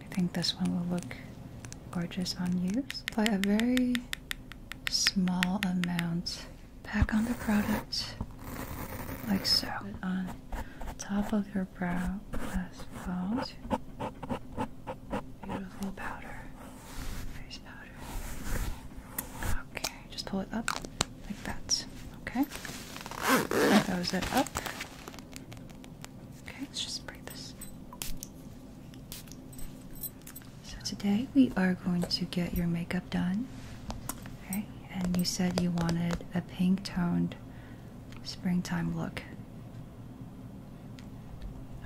I think this one will look gorgeous on you. Apply a very small amount back on the product, like so. On top of your brow as well. Beautiful powder, face powder. Okay, just pull it up like that. Okay, that was it up. Okay, let's just break this. So today we are going to get your makeup done. Okay, and you said you wanted a pink toned springtime look.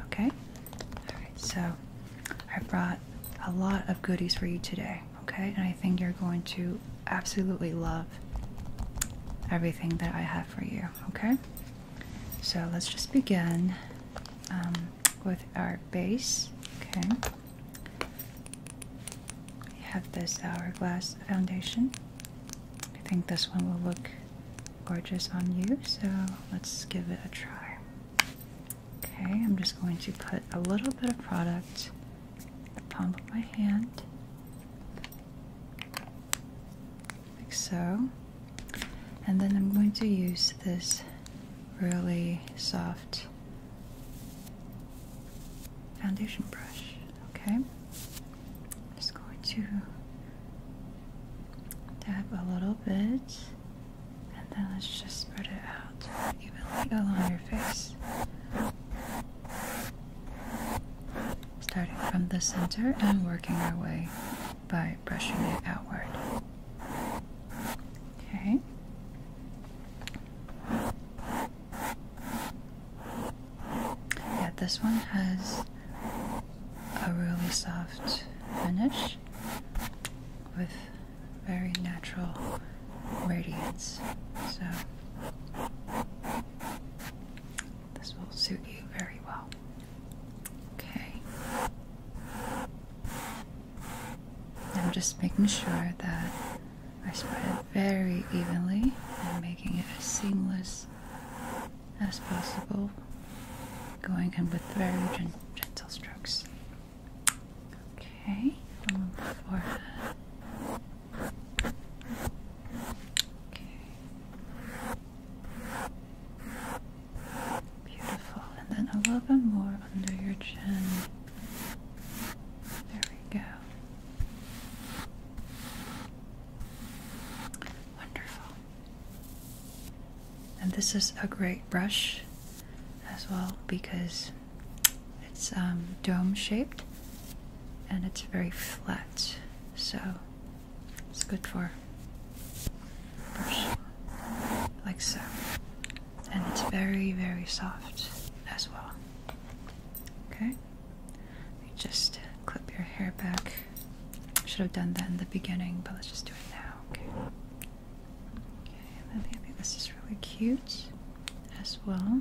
Okay? Alright, so I brought a lot of goodies for you today, okay? And I think you're going to absolutely love everything that I have for you, okay? So let's just begin um, with our base, okay? We have this hourglass foundation. I think this one will look gorgeous on you, so let's give it a try. Okay, I'm just going to put a little bit of product the palm of my hand, like so. And then I'm going to use this really soft foundation brush, okay? just going to dab a little bit and then let's just spread it out evenly along your face starting from the center and working our way by brushing it outward. Okay. Yeah, this one has a really soft finish with very natural radiance. So this will suit you very well. Okay. I'm just making sure that I spread it very evenly and making it as seamless as possible, going in with very gentle strokes. Okay, on the forehead. Beautiful. And then a little bit more under your chin. There we go. Wonderful. And this is a great brush as well because it's um, dome shaped and it's very flat, so it's good for brush like so. And it's very, very soft as well. Okay, just clip your hair back. Should have done that in the beginning, but let's just do it now. Okay. Okay, and this is really cute as well.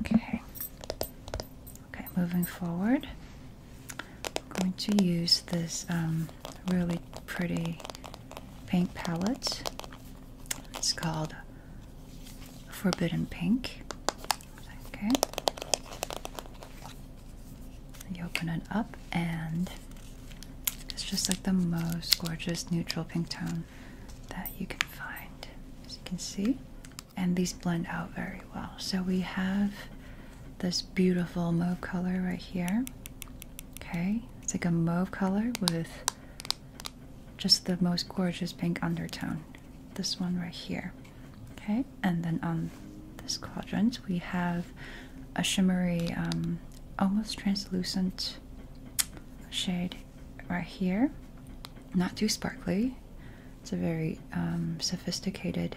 Okay. Okay, moving forward, I'm going to use this um, really pretty paint palette. It's called Forbidden Pink. Okay. You open it up and it's just like the most gorgeous neutral pink tone that you can find, as you can see. And these blend out very well. So we have this beautiful mauve color right here. Okay, it's like a mauve color with just the most gorgeous pink undertone. This one right here. Okay, and then on this quadrant we have a shimmery, um, almost translucent shade right here. Not too sparkly. It's a very um, sophisticated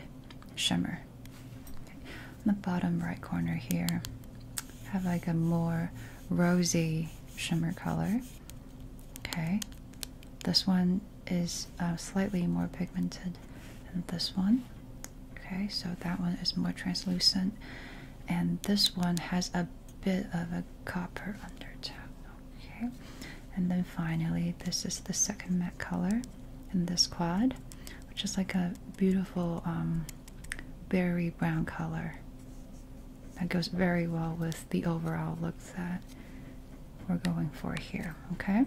shimmer. Okay. On the bottom right corner here, have like a more rosy shimmer color. Okay. This one is uh, slightly more pigmented than this one. Okay, so that one is more translucent, and this one has a bit of a copper undertone. Okay, and then finally, this is the second matte color in this quad, which is like a beautiful um, berry brown color that goes very well with the overall look that we're going for here. Okay,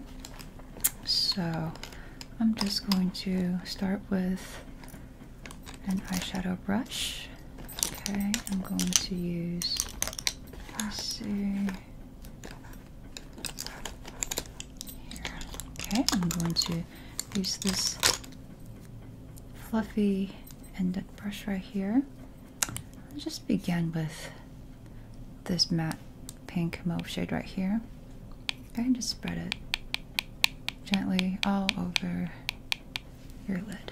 so I'm just going to start with an eyeshadow brush. Okay, I'm going to use. let see. Okay, I'm going to use this fluffy ended brush right here. I'll just begin with this matte pink mauve shade right here and just spread it gently all over your lid.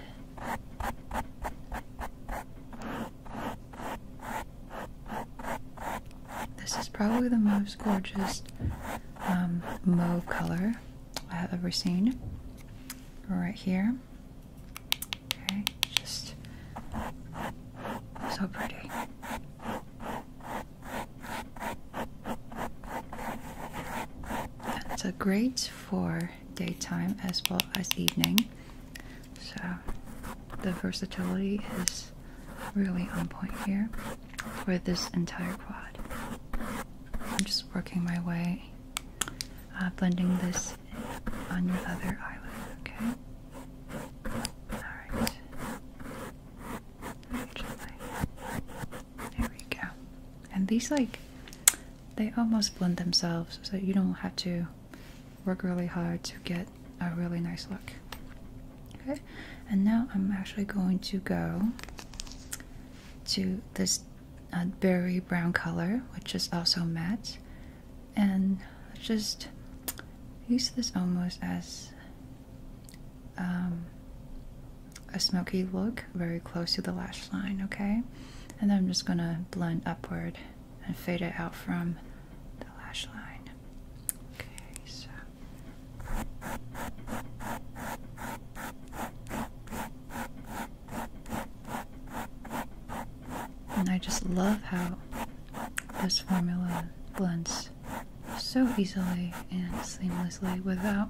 This is probably the most gorgeous um, mauve color I have ever seen. Right here. Okay, just so pretty. So great for daytime as well as evening. So the versatility is really on point here for this entire quad. I'm just working my way, uh, blending this on your other eyelid, okay? Alright actually. There we go. And these like they almost blend themselves so you don't have to work really hard to get a really nice look. Okay, and now I'm actually going to go to this uh, berry brown color, which is also matte, and just use this almost as um, a smoky look very close to the lash line, okay? And then I'm just gonna blend upward and fade it out from the lash line. Okay, so. And I just love how this formula blends so easily and seamlessly without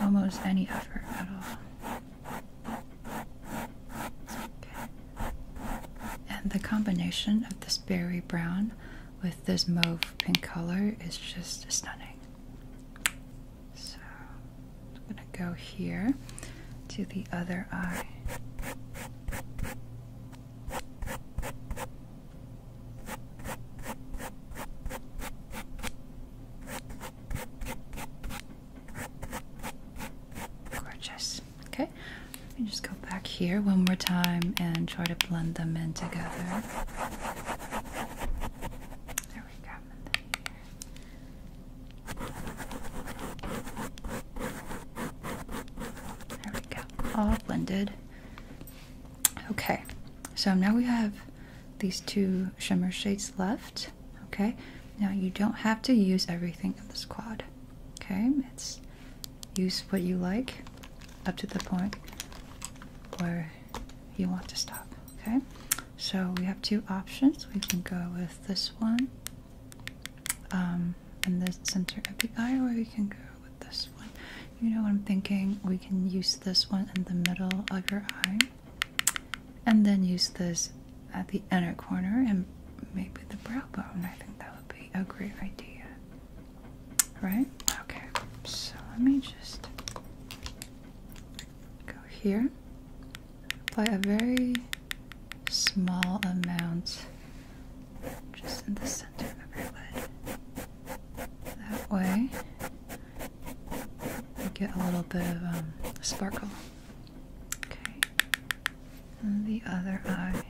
almost any effort at all. And the combination of this berry brown with this mauve pink color is just stunning. So I'm going to go here to the other eye. Gorgeous. Okay, let me just go back here one more time and try to blend them in together. There we go. There we go. All blended. Okay, so now we have these two shimmer shades left. Okay, now you don't have to use everything in this quad. Okay, it's use what you like up to the point where you want to stop. Okay, so we have two options. We can go with this one um, in the center of the eye, or we can go with this one. You know what I'm thinking? We can use this one in the middle of your eye and then use this at the inner corner and maybe the brow bone. I think that would be a great idea. Right? Okay. So let me just go here. Apply a very small amount just in the center of your lid. That way, you get a little bit of um, sparkle. Okay, the other eye.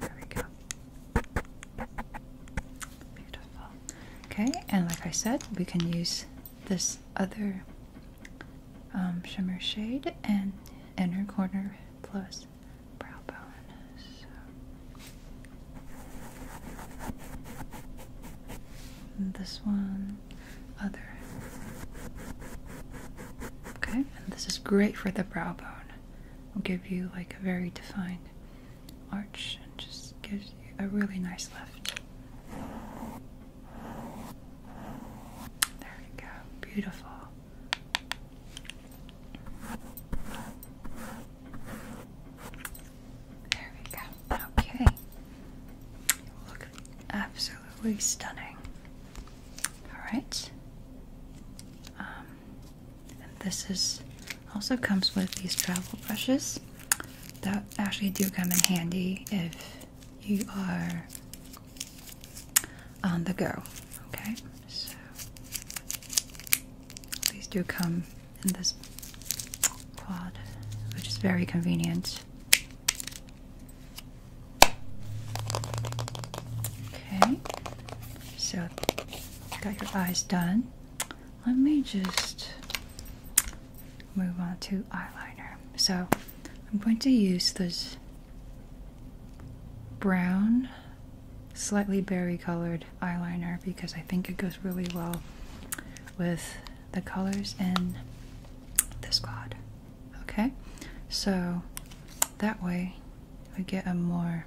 There we go. Beautiful. Okay, and like I said, we can use this other um, shimmer Shade and Inner Corner Plus Brow bone. this one, other. Okay, and this is great for the brow bone. Will give you like a very defined arch and just gives you a really nice lift. There you go. Beautiful. There we go. Okay. look absolutely stunning. Alright. Um, and this is also comes with these travel brushes that actually do come in handy if you are on the go. Okay, so these do come in this quad, which is very convenient. Okay, so got your eyes done. Let me just move on to eyeliner. So I'm going to use this brown, slightly berry colored eyeliner because I think it goes really well with the colors in this quad. Okay, so that way we get a more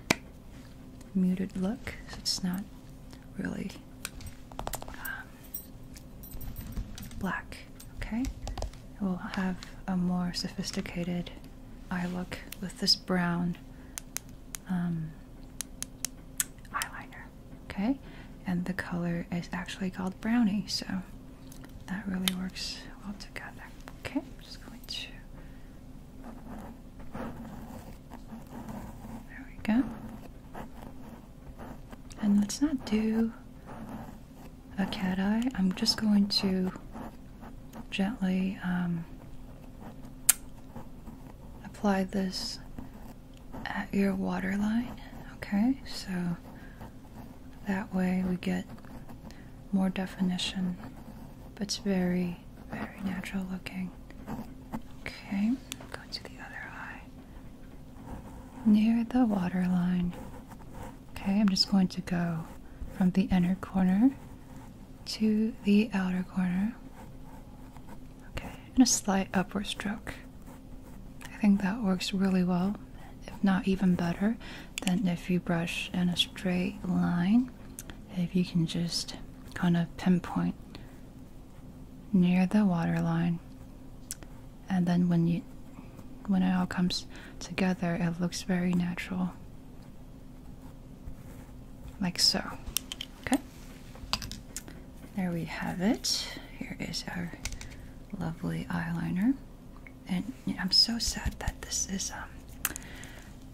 muted look, it's not really um, black. Okay, we'll have a more sophisticated eye look with this brown um, eyeliner. Okay, and the color is actually called brownie, so that really works well together. Okay, I'm just going to. There we go. And let's not do a cat eye. I'm just going to gently um, apply this at your waterline. Okay, so that way we get more definition, but it's very, very natural looking. Okay, go to the other eye near the waterline. Okay, I'm just going to go from the inner corner to the outer corner. Okay, and a slight upward stroke. I think that works really well, if not even better than if you brush in a straight line. If you can just kind of pinpoint near the waterline and then when you when it all comes together it looks very natural like so okay there we have it here is our lovely eyeliner and i'm so sad that this is um,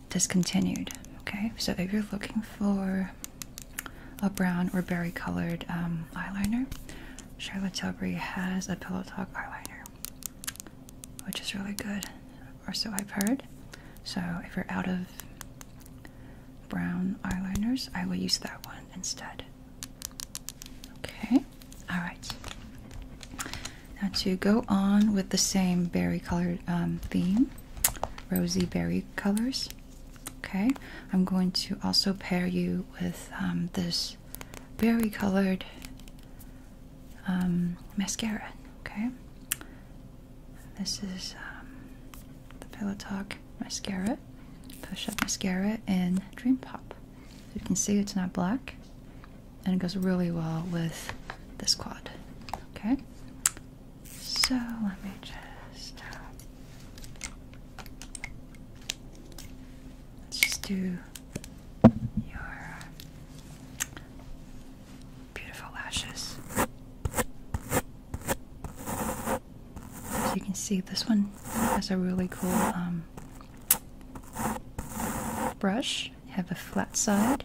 discontinued okay so if you're looking for a brown or berry colored um, eyeliner Charlotte Tilbury has a Pillow Talk eyeliner, which is really good, or so I've heard. So if you're out of brown eyeliners, I will use that one instead. Okay, alright. Now to go on with the same berry colored um, theme, rosy berry colors, Okay, I'm going to also pair you with um, this berry colored um, mascara. Okay, this is um, the Pillow Talk mascara, push up mascara and Dream Pop. you can see it's not black and it goes really well with this quad. Okay, so let me just. Uh, Let's just do your uh, beautiful lashes. As you can see, this one has a really cool um, brush. have a flat side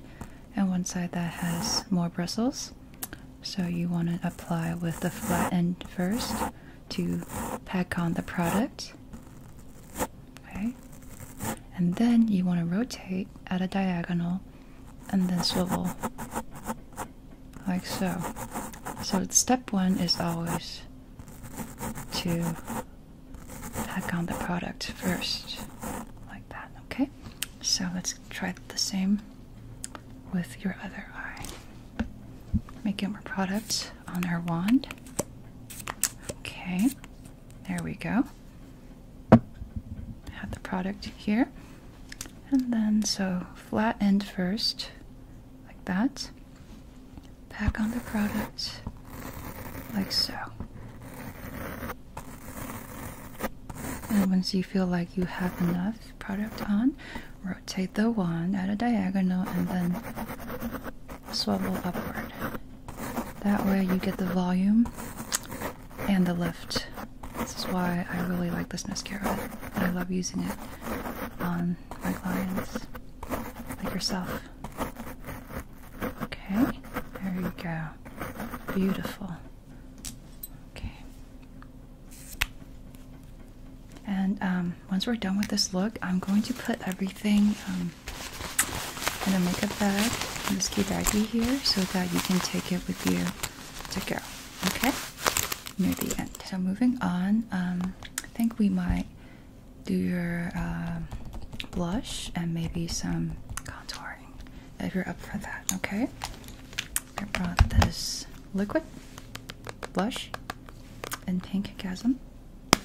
and one side that has more bristles. So you want to apply with the flat end first to pack on the product. Okay. And then you want to rotate at a diagonal and then swivel like so. So step one is always to pack on the product first like that. Okay. So let's try the same with your other eye. Make it more product on our wand. Okay, there we go. Have the product here. And then, so flat end first, like that. Back on the product, like so. And once you feel like you have enough, product on, rotate the wand at a diagonal, and then swivel upward. That way, you get the volume and the lift. This is why I really like this mascara. I love using it on my clients, like yourself. Okay, there you go. Beautiful. Okay. And um, once we're done with this look, I'm going to put everything um, in a makeup bag, in this key baggie here, so that you can take it with you to go. Okay? Near the end. So moving on, um, I think we might do your blush and maybe some contouring if you're up for that. Okay? I brought this liquid blush in pink chasm. It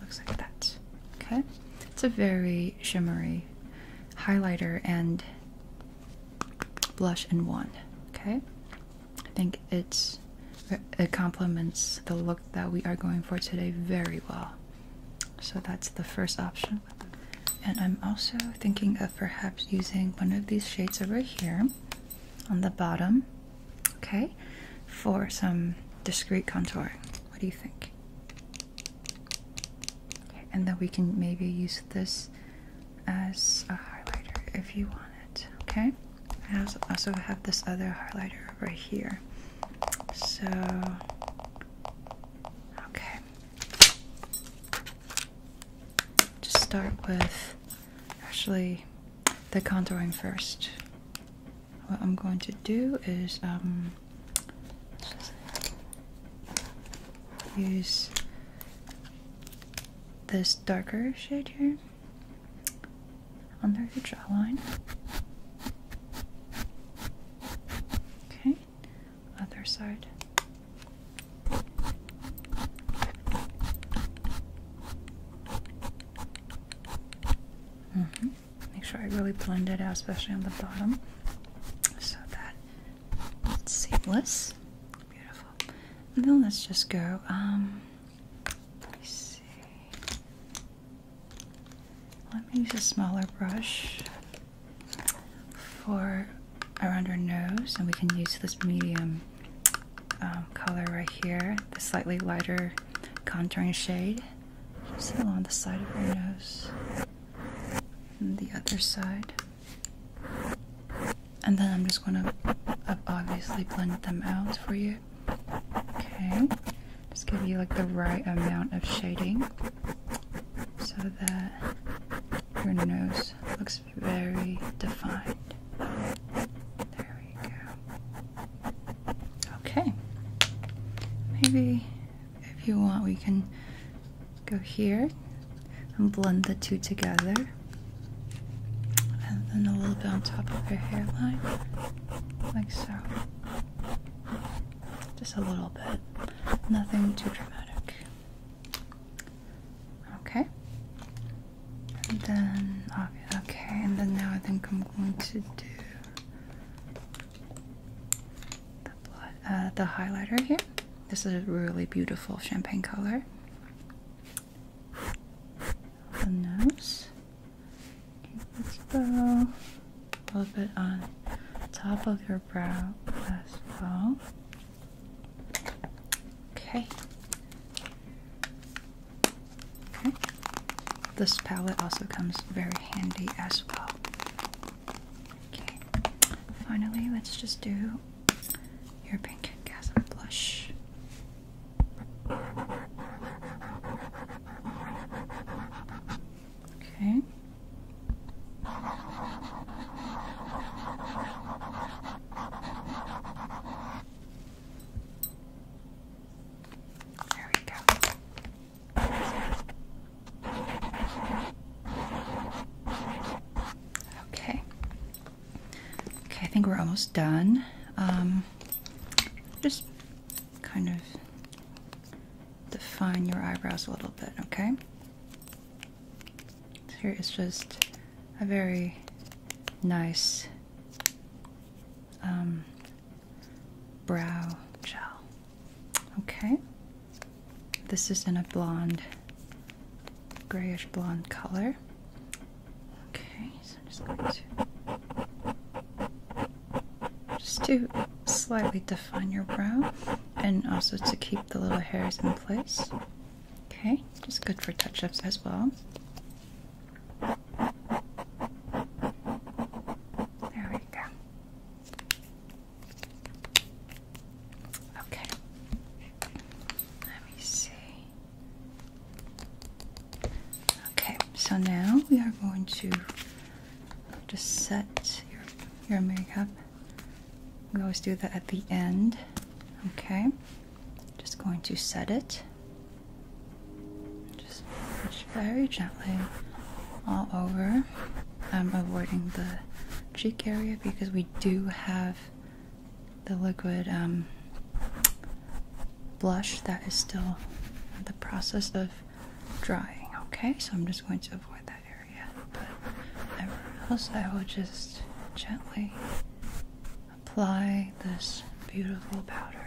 looks like that. Okay, it's a very shimmery highlighter and blush in one. Okay, I think it's it complements the look that we are going for today very well. So that's the first option. And I'm also thinking of perhaps using one of these shades over here on the bottom, okay, for some discrete contour. What do you think? Okay, and then we can maybe use this as a highlighter if you want it, okay? I also, have this other highlighter right here. So, okay just start with actually the contouring first. What I'm going to do is um, use this darker shade here under the jawline. Okay, other side. Mm-hmm. Make sure I really blend it out, especially on the bottom, so that it's seamless. Beautiful. then let's just go. Um, Let me use a smaller brush for around our nose, and we can use this medium um, color right here, the slightly lighter contouring shade, just along the side of our nose and the other side. And then I'm just going to uh, obviously blend them out for you. Okay, just give you like the right amount of shading so that your nose looks very defined. There we go. Okay. Maybe if you want, we can go here and blend the two together. And then a little bit on top of your hairline, like so. Just a little bit. Nothing too dramatic. Okay. And then okay, and then now I think I'm going to do uh, the highlighter here. This is a really beautiful champagne color. The nose. let's go a little bit on top of your brow as well. Okay. Okay. This palette also comes very handy as well. Okay. Finally, let's just do your pink and gasm blush. Okay. There we go. Okay. Okay, I think we're almost done. Um, just kind of define your eyebrows a little bit, okay? Here is just a very nice um, brow gel. Okay, this is in a blonde, grayish blonde color. Okay, so I'm just going to just to slightly define your brow and also to keep the little hairs in place. Okay, just good for touch ups as well. There we go. Okay, let me see. Okay, so now we are going to just set your, your makeup we always do that at the end. Okay, just going to set it. Just very gently all over. I'm avoiding the cheek area because we do have the liquid um, blush that is still in the process of drying. Okay, so I'm just going to avoid that but else I will just gently apply this beautiful powder,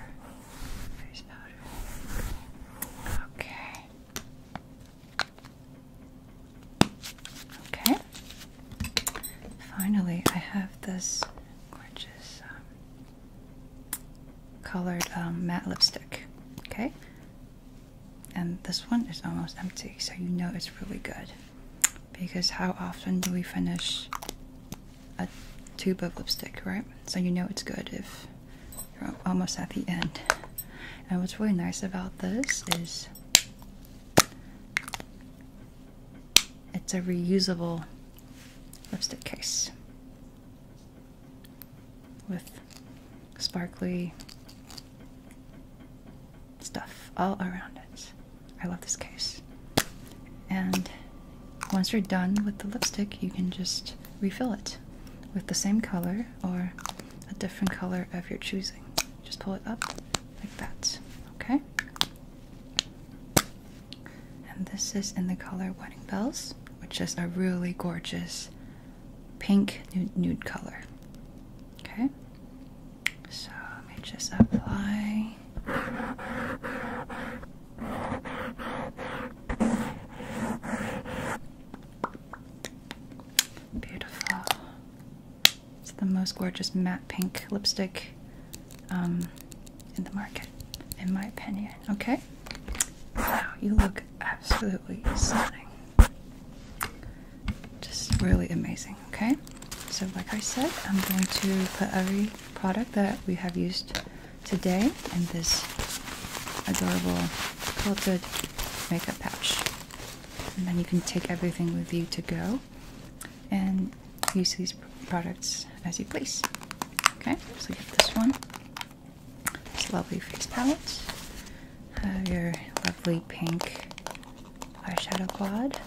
Okay. Okay. Finally, I have this gorgeous um, colored um, matte lipstick. Okay and this one is almost empty so you know it's really good because how often do we finish a tube of lipstick right so you know it's good if you're almost at the end and what's really nice about this is it's a reusable lipstick case with sparkly stuff all around it. I love this case. And once you're done with the lipstick, you can just refill it with the same color or a different color of your choosing. Just pull it up like that, okay? And this is in the color Wedding Bells, which is a really gorgeous pink nude, color. Okay, so let me just apply. Beautiful. It's the most gorgeous matte pink lipstick um, in the market, in my opinion. Okay? Wow, you look absolutely stunning. Just really amazing, okay? So, like I said, I'm going to put every product that we have used today in this adorable quilted makeup pouch. And then you can take everything with you to go and use these products as you please. Okay, so you have this one. This lovely face palette. Have your lovely pink eyeshadow quad.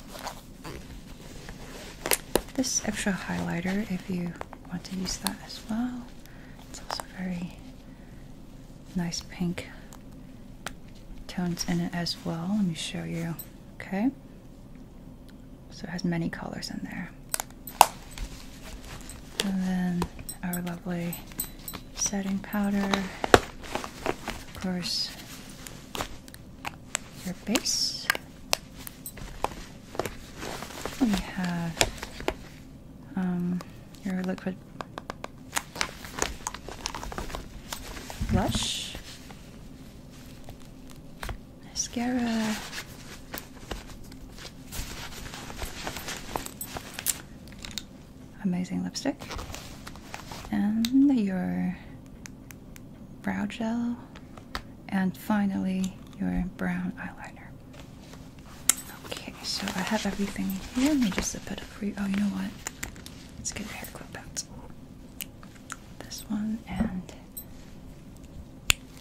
This extra highlighter, if you want to use that as well. It's also very nice pink tones in it as well. Let me show you. Okay. So it has many colors in there. And then our lovely setting powder. Of course, your base. We have um, your liquid blush, mascara, amazing lipstick and your brow gel and finally your brown eyeliner okay so i have everything here let me just zip it up for you oh you know what let's get a hair clip out this one and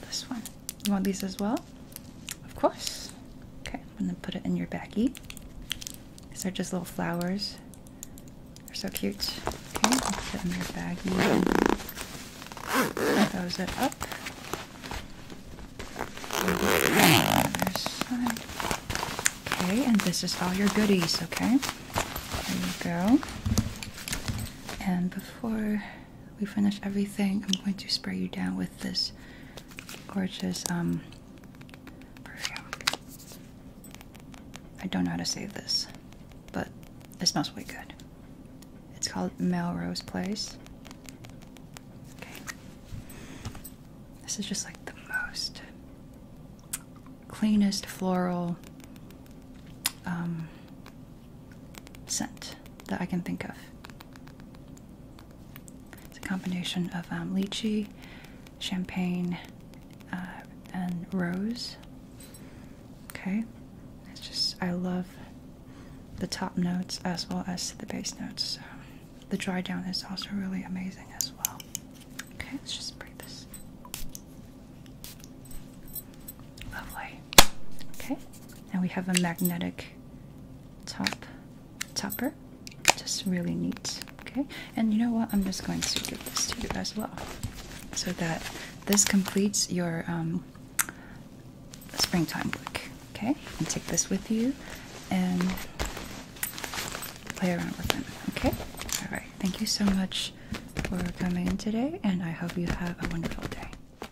this one you want these as well? Of course. Okay, I'm gonna put it in your baggie. These are just little flowers. They're so cute. Okay, I'll put in your baggie. Close it up. Other side. Okay, and this is all your goodies, okay? There you go. And before we finish everything, I'm going to spray you down with this gorgeous um, perfume. I don't know how to say this, but it smells really good. It's called Melrose Place. Okay. This is just like the most cleanest floral um, scent that I can think of. It's a combination of um, lychee, champagne, uh, and rose. Okay, it's just, I love the top notes as well as the base notes. Um, the dry down is also really amazing as well. Okay, let's just break this. Lovely. Okay, now we have a magnetic top topper. Just really neat. Okay, and you know what? I'm just going to give this to you as well, so that this completes your um, springtime look. Okay, and take this with you and play around with them. Okay, all right. Thank you so much for coming today, and I hope you have a wonderful day.